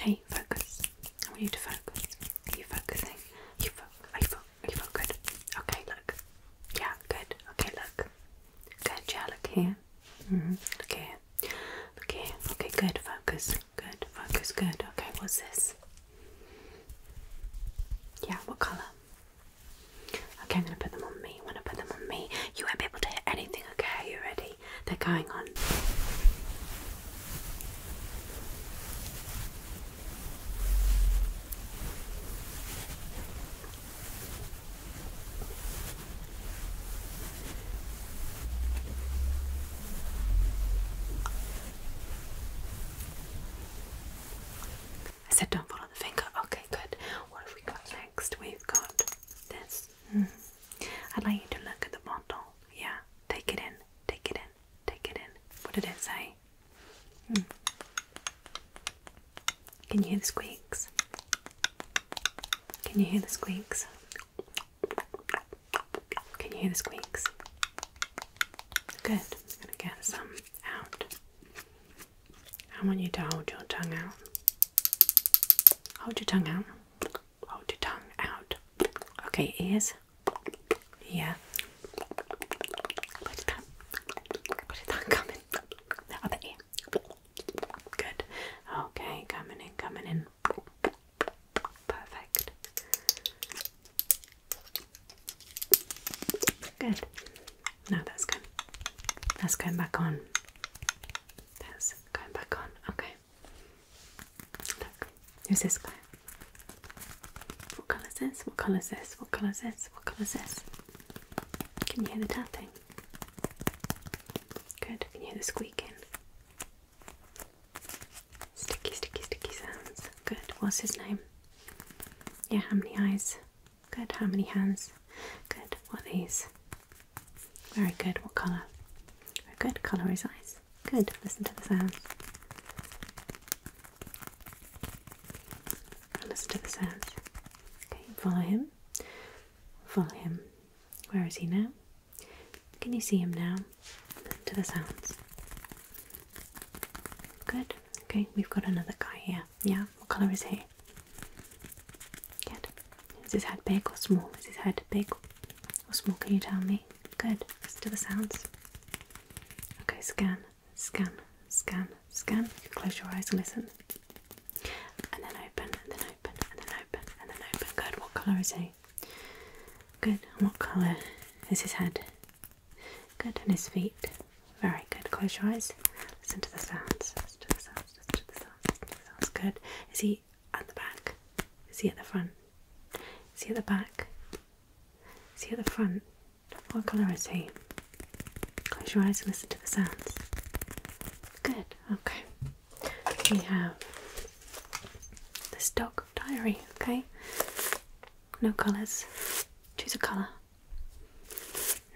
Hey, focus. I want you to focus. Are you focusing? Are you fo are you, fo are you fo good? Okay, look. Yeah, good. Okay, look. Good, yeah, look here. Mm -hmm. Look here. Look here. Okay, good. Focus. Good. Focus. Good. Okay, what's this? Yeah, what colour? Okay, I'm gonna put them on me. When I put them on me, you won't be able to hear anything, okay? Are you ready? they're going on. I said don't follow the finger. Okay, good. What have we got next? We've got this. Hmm. I'd like you to look at the bottle. Yeah, take it in, take it in, take it in. What did it say? Hmm. Can you hear the squeaks? Can you hear the squeaks? Can you hear the squeaks? Good. gonna get some out. I want you to hold your tongue out. Hold your tongue out. Hold your tongue out. Okay, ears. Yeah. Where did that? Where did that come The other ear. Good. Okay, coming in, coming in. Perfect. Good. Now that's going. That's going back on. That's going back on. Okay. Look, who's this guy? What colour is this? What colour is this? What colour is this? What colour is this? Can you hear the tapping? Good, can you hear the squeaking? Sticky, sticky, sticky sounds. Good, what's his name? Yeah, how many eyes? Good, how many hands? Good, what are these? Very good. What colour? Very good. Colour is eyes. Good. Listen to the sound. Listen to the sound. Okay, follow him. Follow him. Where is he now? Can you see him now? Listen to the sounds. Good. Okay, we've got another guy here. Yeah, what colour is he? Good. Is his head big or small? Is his head big or small? Can you tell me? Good. Let's do the sounds. Okay, scan, scan, scan, scan. close your eyes and listen. And then open, and then open, and then open, and then open. Good. What colour is he? Good. what colour is his head? Good. And his feet? Very good. Close your eyes. Listen to the sounds. Listen to the sounds. Listen to the sounds. sounds. Good. Is he at the back? Is he at the front? Is he at the back? Is he at the front? What colour is he? Close your eyes and listen to the sounds. Good, okay. We have this dog diary, okay? No colours. Choose a colour.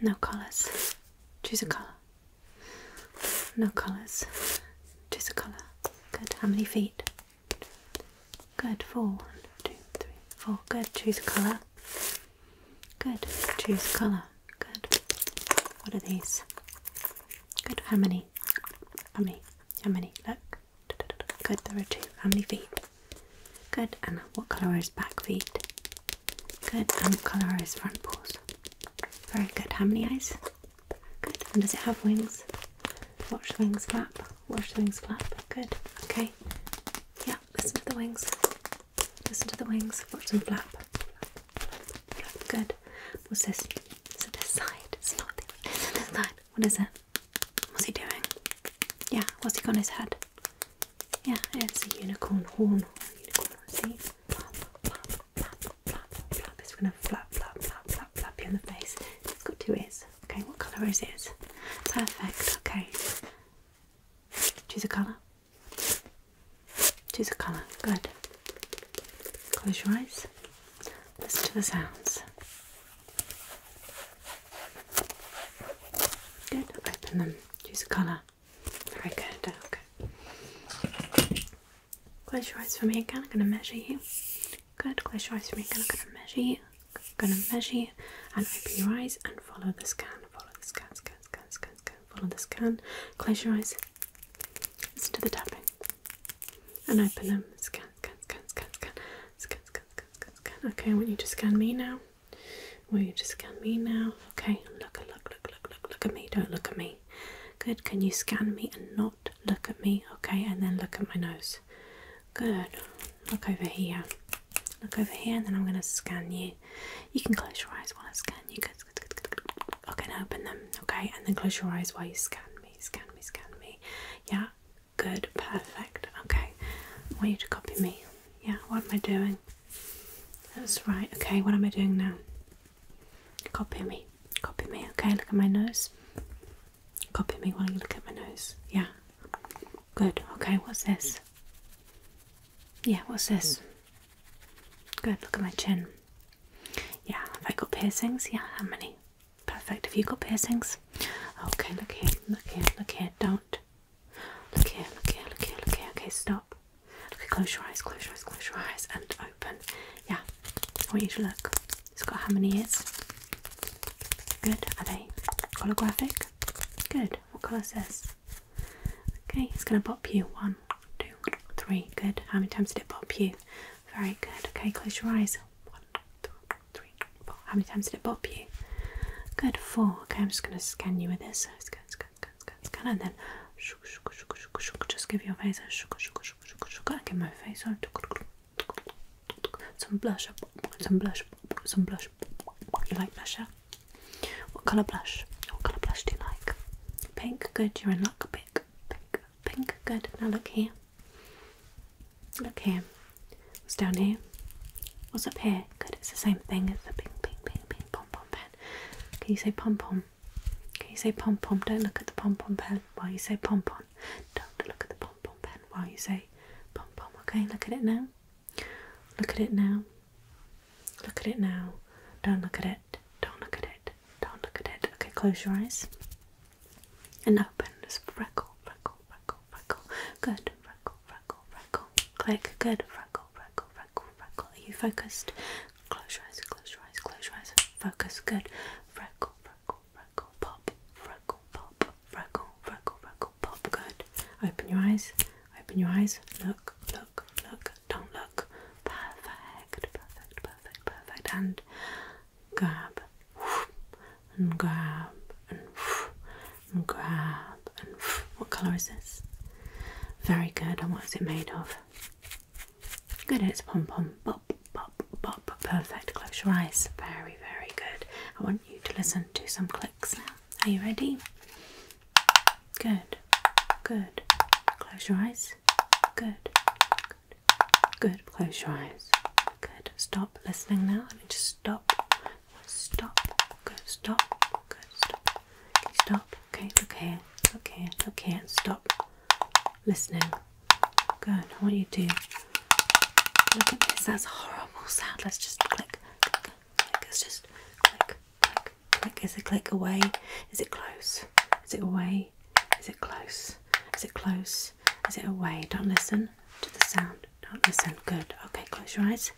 No colours. Choose a colour. No colours. Choose a colour. Good. How many feet? Good. Four. One, two, three, four. Good. Choose a colour. Good. Choose a colour. Good. What are these? Good. How many? How many? How many? Look. Good. There are two. How many feet? Good. And what colour is back feet? Good. And what colour is front paws? Very good. How many eyes? Good. does it have wings? Watch the wings flap. Watch the wings flap. Good. Okay. Yeah, listen to the wings. Listen to the wings. Watch them flap. flap. Good. What's this? Is it this side? It's not this. it side? What is it? What's he doing? Yeah, what's he got on his head? Yeah, it's a unicorn horn. Unicorn, see? It's going to flap, flap, flap, flap, flap you in the face. It's got two is. Okay, what colour is it? Perfect. Okay. Choose a colour. Choose a colour. Good. Close your eyes. Listen to the sounds. Good. Open them. Choose a colour. Very good. Okay. Close your eyes for me again. I'm gonna measure you. Good. Close your eyes for me again. I'm gonna measure you. I'm gonna measure you. And open your eyes and follow the scan. Follow the scan. Scan. Scan. Scan. Scan. Follow the scan. Close your eyes. Listen to the tapping. And open them. Scan. Scan. Scan. Scan. Scan. Scan. Scan. Scan. Scan. Okay. I want you to scan me now. Will you just scan me now? Okay. Look. Look. Look. Look. Look. Look at me. Don't look at me. Good. Can you scan me and not look at me? Okay, and then look at my nose. Good. Look over here. Look over here, and then I'm going to scan you. You can close your eyes while I scan you. Good, good, good, Okay, open them. Okay, and then close your eyes while you scan me. Scan me, scan me. Yeah, good, perfect. Okay, I want you to copy me. Yeah, what am I doing? That's right. Okay, what am I doing now? Copy me. Copy me. Okay, look at my nose. Copy me while you look at my nose. Yeah. Good. Okay, what's this? Yeah, what's this? Good. Look at my chin. Yeah, i have got piercings? Yeah, how many? Perfect. Have you got piercings? Okay, look here. Look here. Look here. Don't. Look here. Look here. Look here. Look here. Okay, stop. Okay, close your eyes. Close your eyes. Close your eyes and open. Yeah, I want you to look. It's got how many ears? Good. Are they holographic? Good. What colour is this? Okay, it's going to pop you. One, two, three. Good. How many times did it pop you? Very good. Okay, close your eyes. One, two, three, four. How many times did it pop you? Good. Four. Okay, I'm just going to scan you with this. Scan, scan, scan, scan, scan, and then just give your face a I get my face on. Some blush up, some blush, some blush. You like blusher? What colour blush? What colour blush do you like? Pink, good. You're in luck. Pink, pink, pink, good. Now look here. Look here. What's down here? What's up here? Good. It's the same thing. It's the pink, pink, pink, pink pom pom pen. Can you say pom pom? Can you say pom pom, don't look at the pom pom pen while you say pom pom. Don't look at the pom pom pen while you say pom pom. Okay, look at it now. Look at it now. Look at it now. Don't look at it. Don't look at it. Don't look at it. Okay, close your eyes. And open. this freckle, freckle, freckle, freckle. Good. Freckle, freckle, freckle. Click. Good. Freckle, freckle, freckle, freckle. Are you focused? Close your eyes, close your eyes, close your eyes. Focus, good. Freckle, freckle, freckle, pop. Freckle, pop. Freckle, freckle, freckle, pop. Good. Open your eyes, open your eyes. Look, look, look. Don't look. Perfect, perfect, perfect, perfect. And grab, and grab, and, and grab, and what colour is this? Very good. And what is it made of? Good. It's pom pom, bop, bop, bop. Perfect. Close your eyes. Very, very good. I want you to listen to some clicks now. Are you ready? Good, good. Close your eyes. Good, good. Good. Close your eyes. Good. Stop listening now. Let me just stop. Stop. Good. Stop. Good. Stop. Okay. Okay. Okay. Okay. Look Stop listening. Good. What do you do? look at this. That's horrible sound. Let's just click, click, click. just click, click, click. Is it click away? Is it close? Is it away? Is it close? Is it close? Is it away? Don't listen to the sound. Don't listen. Good. Okay, close your eyes.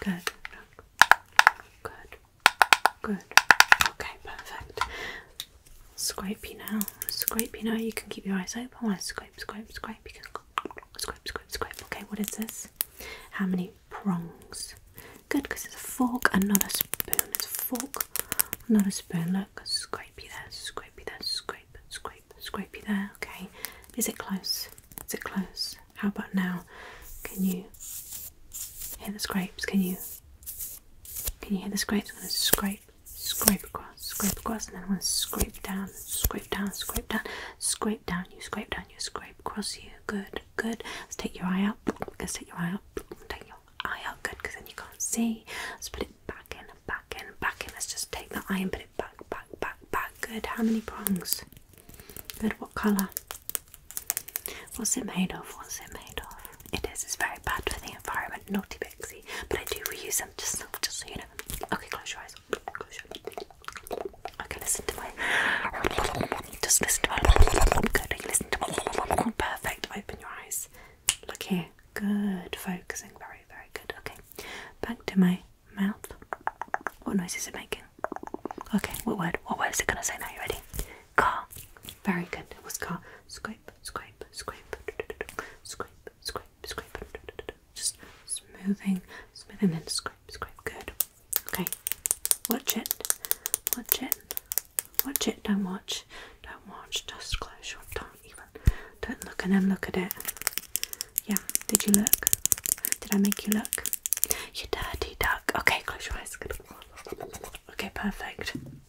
Good. Good. Good. Okay, perfect. Scrapey now. scrapey now. You can keep your eyes open. I want to scrape, scrape, scrape. You can scrape, scrape, scrape. Okay, what is this? How many prongs? Good, because it's a fork and not a spoon. It's a fork, not a spoon. Look, scrape you there, scrape there, scrape, scrape, scrape you there. Okay, is it close? Is it close? How about now? Can you hear the scrapes? Can you can you hear the scrapes? I'm going to scrape, scrape across, scrape across, and then I'm going to scrape down, scrape down, scrape down, scrape down, you scrape down, you scrape across you. Good, good. Let's take your eye out. Let's take your eye out. Take your eye out. Good, because then you can't see. Let's put it back in, back in, back in. Let's just take the eye and put it back, back, back, back. Good. How many prongs? Good. What colour? What's it made of? What's it made of? It is, it's very bad for the environment, naughty Bixie. But I do reuse them, just, just so you know. Okay, close your eyes. Close your eyes. Okay, listen to my. Just listen to my. Good, listen to my. Perfect. Open your eyes. Look here. Good. Focusing. Very, very good. Okay. Back to my mouth. What noise is it making? Okay, what word? What word is it going to say now? You ready? Car. Very good. It was car. Scope, scope, scrape, scrape, scrape, scrape, scrape. Just smoothing, smoothing, then scrape, scrape. Good. Okay. Watch it. Watch it. Watch it. Don't watch. Don't watch. Just close your. Don't even. Don't look at then look at it. Yeah. Did you look? Did I make you look? You dirty duck. Okay. Close your eyes. Good. Okay. Perfect.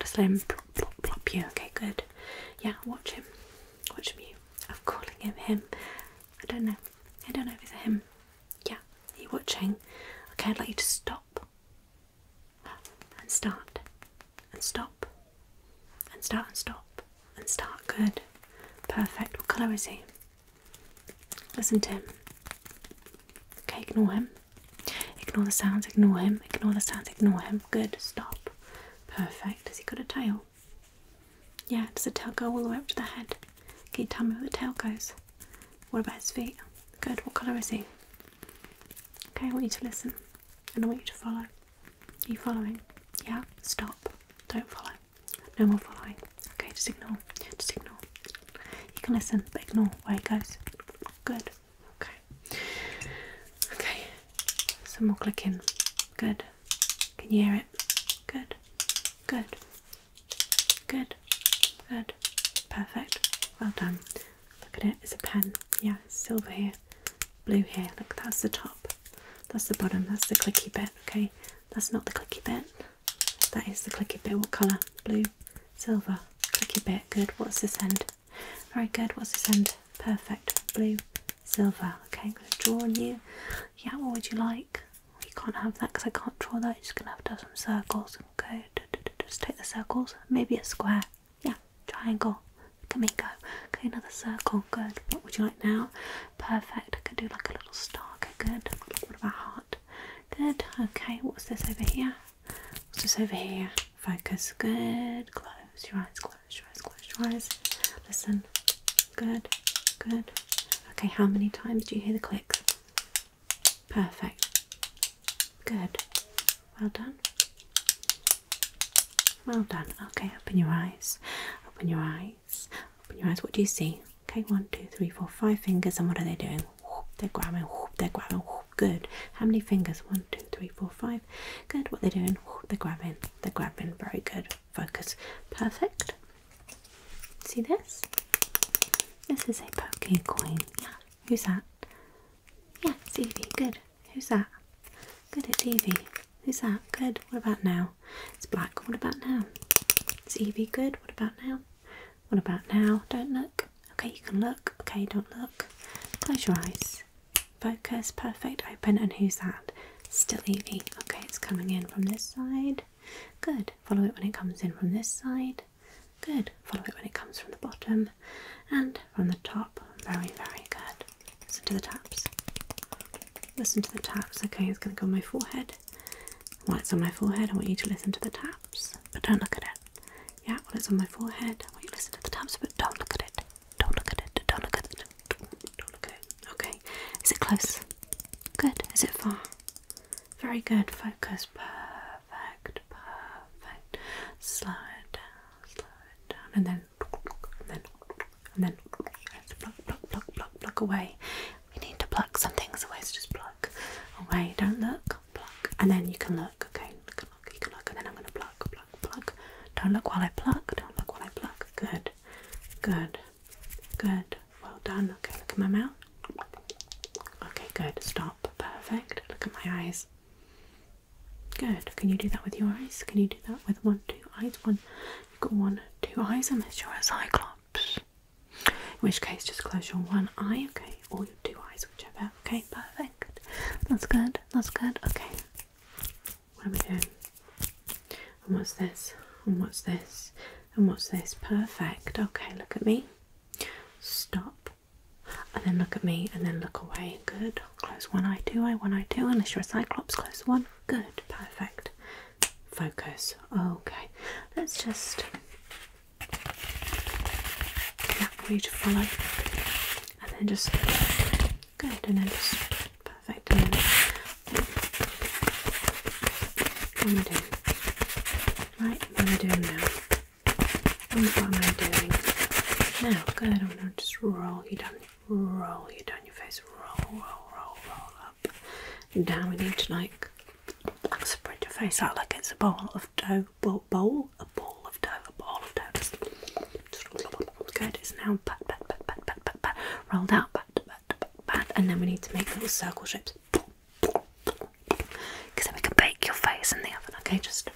just let him plop, plop, plop you. Okay, good. Yeah, watch him. Watch me. I'm calling him him. I don't know. I don't know if it's a him. Yeah, are you watching? Okay, I'd like you to stop. And start. And stop. And start and stop. And start. Good. Perfect. What colour is he? Listen to him. Okay, ignore him. Ignore the sounds, ignore him, ignore the sounds, ignore him. Good, stop. Perfect. Has he got a tail? Yeah, does the tail go all the way up to the head? Can you tell me where the tail goes? What about his feet? Good, what colour is he? Okay, I want you to listen and I want you to follow. Are you following? Yeah, stop. Don't follow. No more following. Okay, Signal. Signal. You can listen, but ignore where it goes. Good. Okay. Okay. Some more clicking. Good. Can you hear it? Good. Good. Good. Good. Perfect. Well done. Look at it. It's a pen. Yeah, silver here. Blue here. Look, that's the top. That's the bottom. That's the clicky bit. Okay. That's not the clicky bit. That is the clicky bit. What colour? Blue. Silver. Clicky bit. Good. What's this end? Very good. What's this end? Perfect. Blue. Silver. Okay, I'm going to draw on you. Yeah, what would you like? You can't have that because I can't draw that. just going to have to have some circles. Okay, just take the circles. Maybe a square. Yeah, triangle. Come here, go. Okay, another circle. Good. What would you like now? Perfect. I can do like a little star. Okay, good. What about heart? Good. Okay, what's this over here? What's this over here? Focus. Good. Close your eyes. Close your eyes. Close your eyes. Listen. Good. Good. Okay, how many times do you hear the clicks? Perfect. Good. Well done. Well done. Okay, open your eyes. Open your eyes. Open your eyes. What do you see? Okay, one, two, three, four, five fingers. And what are they doing? they're grabbing, whoop, they're grabbing, whoop, good. How many fingers? One, two, three, four, five. Good, what they're doing, whoop, they're grabbing, they're grabbing, very good. Focus, perfect. See this? This is a poke coin. Yeah, who's that? Yeah, it's Evie, good. Who's that? Good, it's Evie. Who's that? Good. What about now? It's black. What about now? It's Evie. Good. What about now? What about now? Don't look. Okay, you can look. Okay, don't look. Close your eyes. Focus. Perfect. Open. And who's that? Still Evie. Okay, it's coming in from this side. Good. Follow it when it comes in from this side. Good. Follow it when it comes from the bottom and from the top. Very, very good. Listen to the taps. Listen to the taps. Okay, it's going to go on my forehead. While it's on my forehead, I want you to listen to the taps, but don't look at it. Yeah, well, it's on my forehead. I want you to listen to the taps, but don't look at it. Don't look at it. Don't look at it. Don't look at it. Okay. Is it close? Good. Is it far? Very good. Focus. Perfect. Perfect. Slow down. Slow down. And then, and then, and then, let's pluck, pluck, pluck, pluck, pluck away. We need to pluck some things away. just pluck away. Don't look. Pluck. And then you can look okay? You can look, you can look, and then I'm gonna pluck, pluck, pluck. Don't look while I plug. don't look while I pluck. Good, good, good. Well done. Okay, look at my mouth. Okay, good. Stop. Perfect. Look at my eyes. Good. Can you do that with your eyes? Can you do that with one, two eyes? One. You've got one, two eyes, unless you're a cyclops. In which case, just close your one eye, okay, or your two eyes eyes, whichever. Okay, perfect. That's good. That's good. Okay. What are we doing? And what's this? And what's this? And what's this? Perfect. Okay, look at me. Stop. And then look at me and then look away. Good. Close one eye, two eye, one eye, two. Unless you're a cyclops, close one. Good. Perfect. Focus. Okay. Let's just that way to follow and then just good and then just perfect and then what am I doing? Right, what am I doing now? What am I doing? Now, good, I'm gonna just roll you down, roll you down your face, roll, roll, roll, roll up and down. We need to like spread your face out like it's a bowl of dough bowl, bowl, a bowl of dough, a bowl of dough. Just, good. It's now pat, pat, pat, pat, pat, pat, pat, rolled out, pat, pat, pat, pat, and then we need to make little circle shapes. Because then we can bake your face in the oven. Okay, just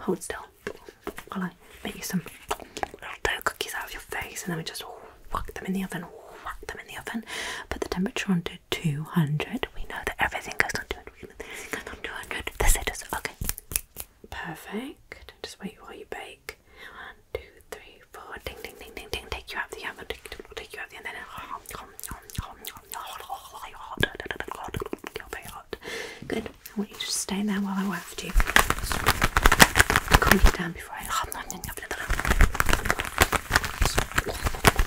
hold still while I make you some little dough cookies out of your face, and then we just whack them in the oven. Whack them in the oven. Put the temperature on to 200. We know that everything goes on 200. We know that everything goes on 200. That's it. Just, okay. Perfect. Just wait while you bake. One, two, three, four. Ding, ding, ding, ding, ding. Take you out the oven. Take, take you out the oven. Good. I want you to stay there while I waft you. Calm you down before I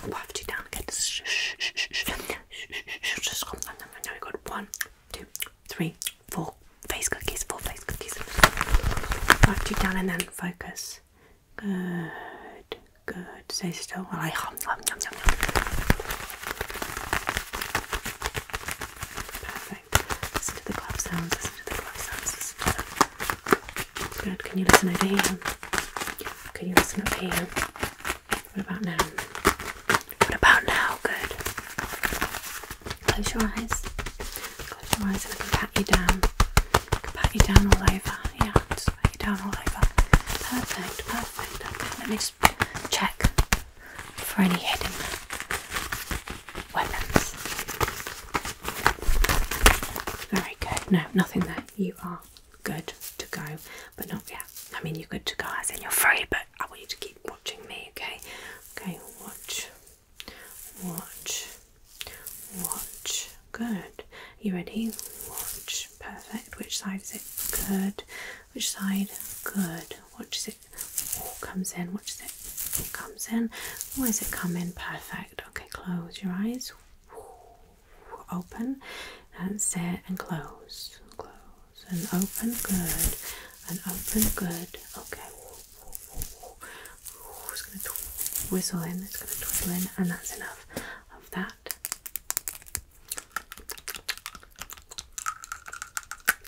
waft you down. Good. Shh, shh, shh, shh. Wszystko. Now we got one, two, three, four face cookies, four face cookies. Knock two down and then focus. Good, good. Stay still while I hum, hum, hum, hum, hum. Perfect. Listen to the glove sounds, listen to the glove sounds, listen to them. Good. Can you listen over here? Can you listen up here? What about now? What about now? Good. Close your eyes. Close your eyes and I can pat you down. pat you down all over. Yeah, pat you down all over. Perfect, perfect. Okay, let me just check for any hidden weapons. Very good. No, nothing there. You are good to go, but not yet. I mean, you're good to go as in you're free, but I want you to keep watching me, okay? Okay, watch, watch, watch. Good. You ready? Watch. Perfect. Which side is it? Good. Which side? Good. Watch it. All comes in. Watch it. All comes in. Where's it come in? Perfect. Okay, close your eyes open. That's it. And close. Close. And open. Good. And open. Good. Okay. It's going to whistle in. It's going to twiddle in. And that's enough of that.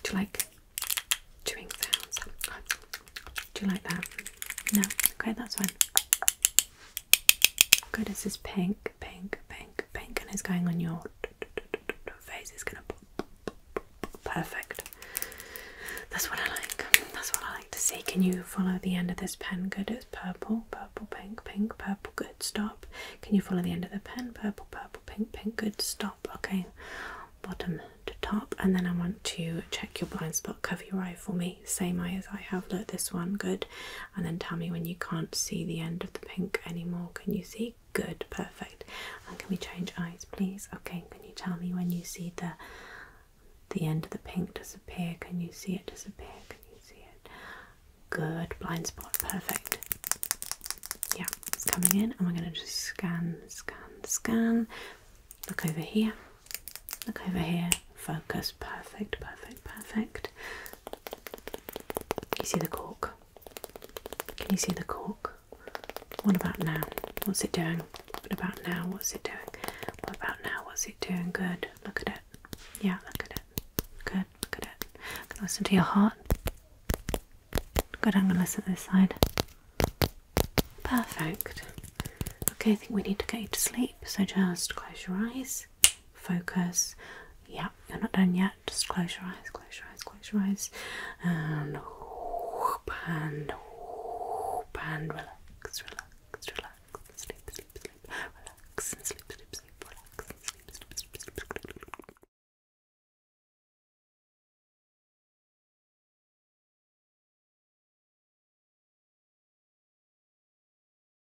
Do you like chewing sounds? Do you like that? No? Okay, that's fine. Good, this is pink, pink, pink, pink, and it's going on your face. It's gonna pop. Perfect. That's what I like. That's what I like to see. Can you follow the end of this pen? Good, it's purple, purple, pink, pink, purple. Good, stop. Can you follow the end of the pen? Purple, purple, pink, pink. Good, stop. Okay, bottom to top, and then I want to check your blind spot. Cover your eye for me. Same eye as I have. Look, this one. Good and then tell me when you can't see the end of the pink anymore. Can you see? Good, perfect. And can we change eyes, please? Okay, can you tell me when you see the the end of the pink disappear? Can you see it disappear? Can you see it? Good, blind spot, perfect. Yeah, it's coming in, and we're going to just scan, scan, scan. Look over here, look over here, focus perfect, perfect, perfect. You see the cork? Can you see the cork? What about now? What's it doing? What about now? What's it doing? What about now? What's it doing? Good. Look at it. Yeah, look at it. Good. Look at it. i listen to your heart. Good. I'm gonna listen to this side. Perfect. Okay, I think we need to get you to sleep. So just close your eyes focus. Yeah, you're not done yet. Just close your eyes, close your eyes, close your eyes, and and relax, relax, relax, sleep, sleep, sleep, relax, sleep, sleep, sleep, relax, sleep, sleep. sleep.